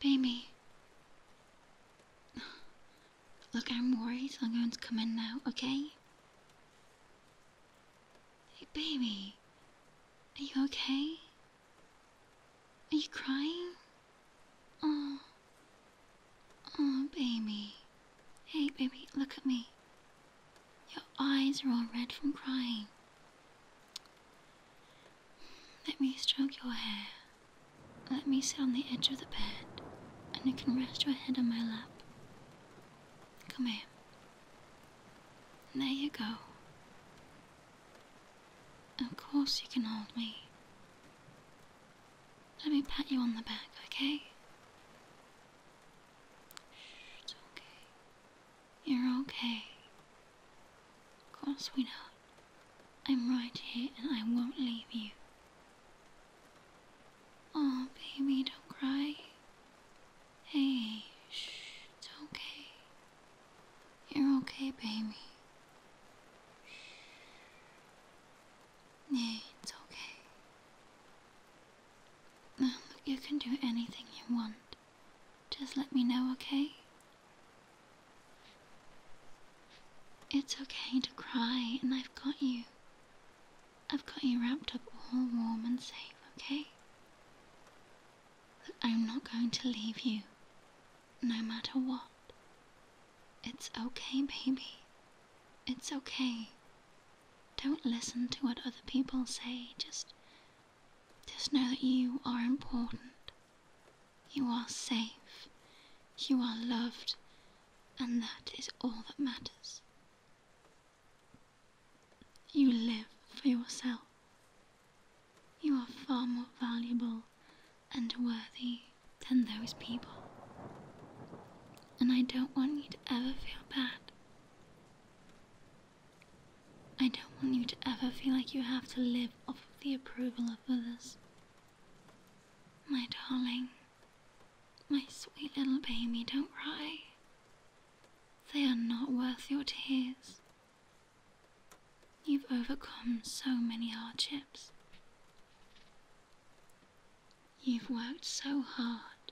Baby. Look, I'm worried so I'm going to come in now, okay? Hey, baby. Are you okay? Are you crying? Oh. Oh, baby. Hey, baby, look at me. Your eyes are all red from crying. Let me stroke your hair. Let me sit on the edge of the bed, and you can rest your head on my lap. Come here. There you go. Of course you can hold me. Let me pat you on the back, okay? it's okay. You're okay. Of course, sweetheart. I'm right here and I won't leave you. Oh, baby, don't cry. Hey, shh, it's okay. You're okay, baby. Yeah, it's okay. you can do anything you want. Just let me know, okay? It's okay to cry, and I've got you. I've got you wrapped up all warm and safe, okay? I'm not going to leave you, no matter what. It's okay, baby. It's okay. Don't listen to what other people say. Just just know that you are important. You are safe. You are loved. And that is all that matters. You live for yourself. You are far more valuable and worthy than those people. And I don't want you to ever feel bad. I don't want you to ever feel like you have to live off the approval of others. My darling, my sweet little baby, don't cry. They are not worth your tears. You've overcome so many hardships. You've worked so hard,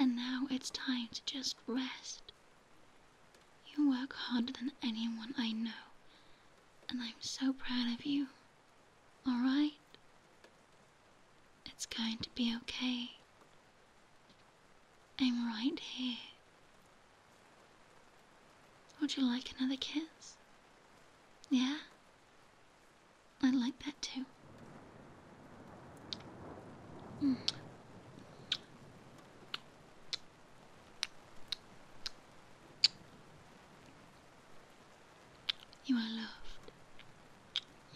and now it's time to just rest you work harder than anyone I know, and I'm so proud of you. Alright? It's going to be okay. I'm right here. Would you like another kiss? Yeah? i like that too. Mm. You are loved.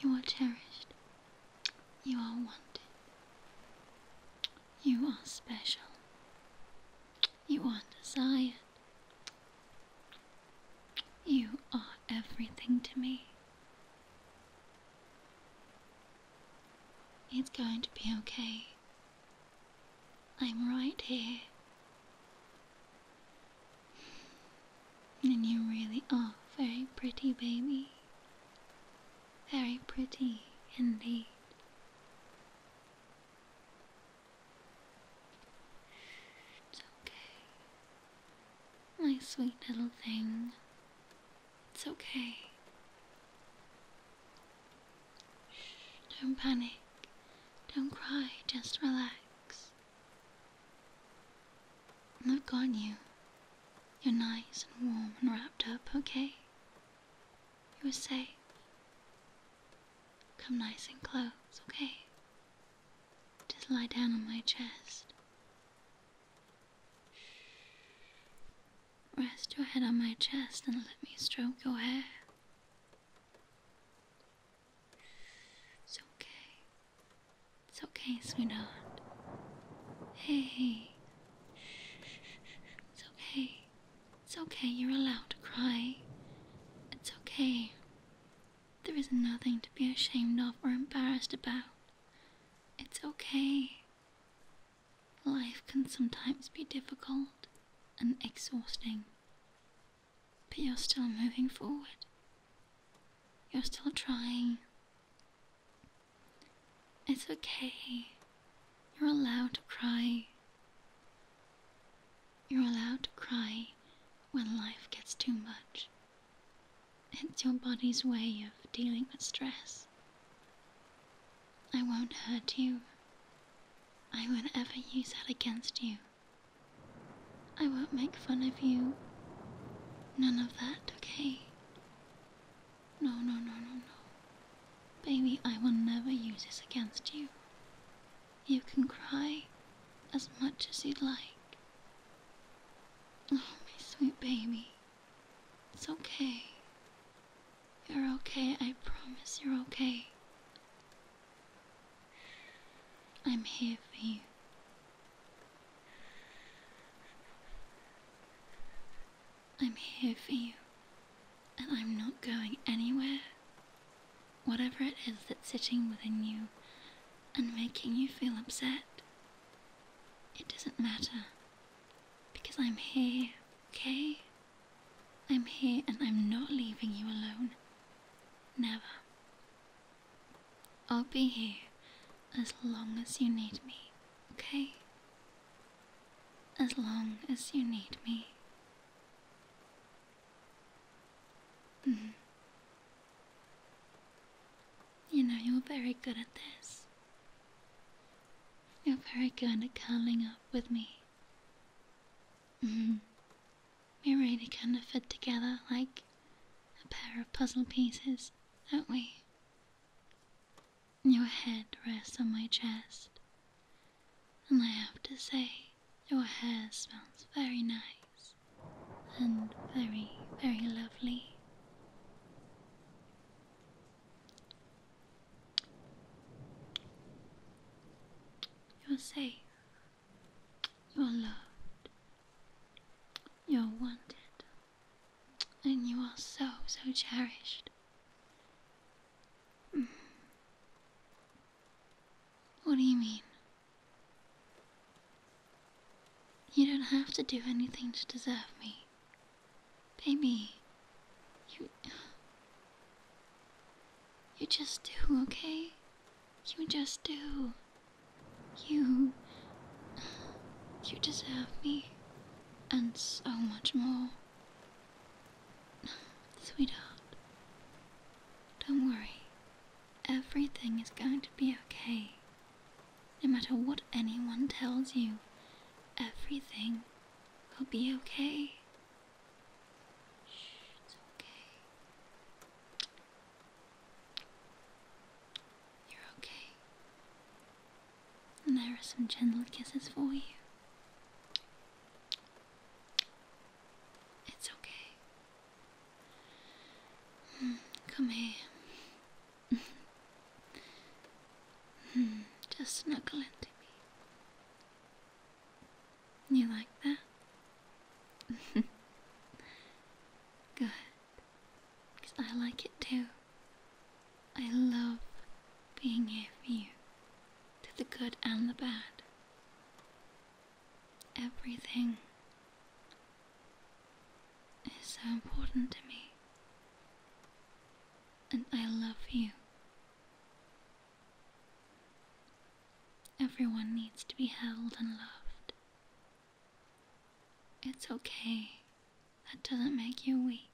You are cherished. You are wanted. You are special. You are desired. You are everything to me. It's going to be okay. I'm right here. And you really are very pretty, baby. Very pretty indeed. It's okay. My sweet little thing. It's okay. Shh, don't panic. Don't cry, just relax. Look on you. You're nice and warm and wrapped up, okay? You're safe. Come nice and close, okay? Just lie down on my chest. Rest your head on my chest and let me stroke your hair. It's okay. It's okay, sweetheart. Hey. It's okay. It's okay, you're allowed to cry. It's okay. There is nothing to be ashamed of or embarrassed about. It's okay. Life can sometimes be difficult and exhausting, but you're still moving forward. You're still trying. It's okay. You're allowed to cry. You're allowed to cry when life gets too much. It's your body's way of dealing with stress. I won't hurt you. I won't ever use that against you. I won't make fun of you. None of that, okay? No, no, no, no, no. Baby, I will never use this against you. You can cry as much as you'd like. Oh, my sweet baby. It's okay. You're okay, I promise you're okay. I'm here for you. I'm here for you, and I'm not going anywhere. Whatever it is that's sitting within you and making you feel upset, it doesn't matter. Because I'm here, okay? I'm here and I'm not leaving you alone. Never. I'll be here as long as you need me, okay? As long as you need me. Mm-hmm. You know, you're very good at this. You're very good at curling up with me. Mm-hmm. We're really kind of fit together like a pair of puzzle pieces, are not we? Your head rests on my chest, and I have to say, your hair smells very nice and very, very lovely. You're safe. You're loved. You're wanted. And you are so, so cherished. Mm. What do you mean? You don't have to do anything to deserve me. Baby, you. You just do, okay? You just do. You. You deserve me. And so much more. Sweetheart, don't worry. Everything is going to be okay. No matter what anyone tells you, everything will be okay. it's okay. You're okay. And there are some gentle kisses for you. It's okay. Hmm, come here. Hmm, just snuggle into me. You like that? Good. I like it too. I love being here for you, to the good and the bad. Everything is so important to me and I love you. Everyone needs to be held and loved. It's okay. That doesn't make you weak.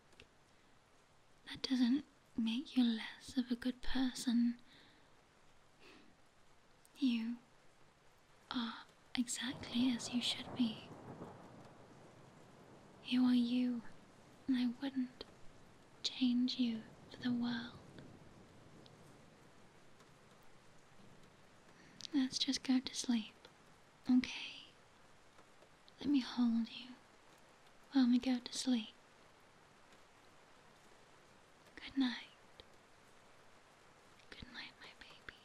That doesn't make you less of a good person. You are exactly as you should be. You are you, and I wouldn't change you for the world. Let's just go to sleep, okay? Let me hold you while we go to sleep. Good night. Good night, my baby.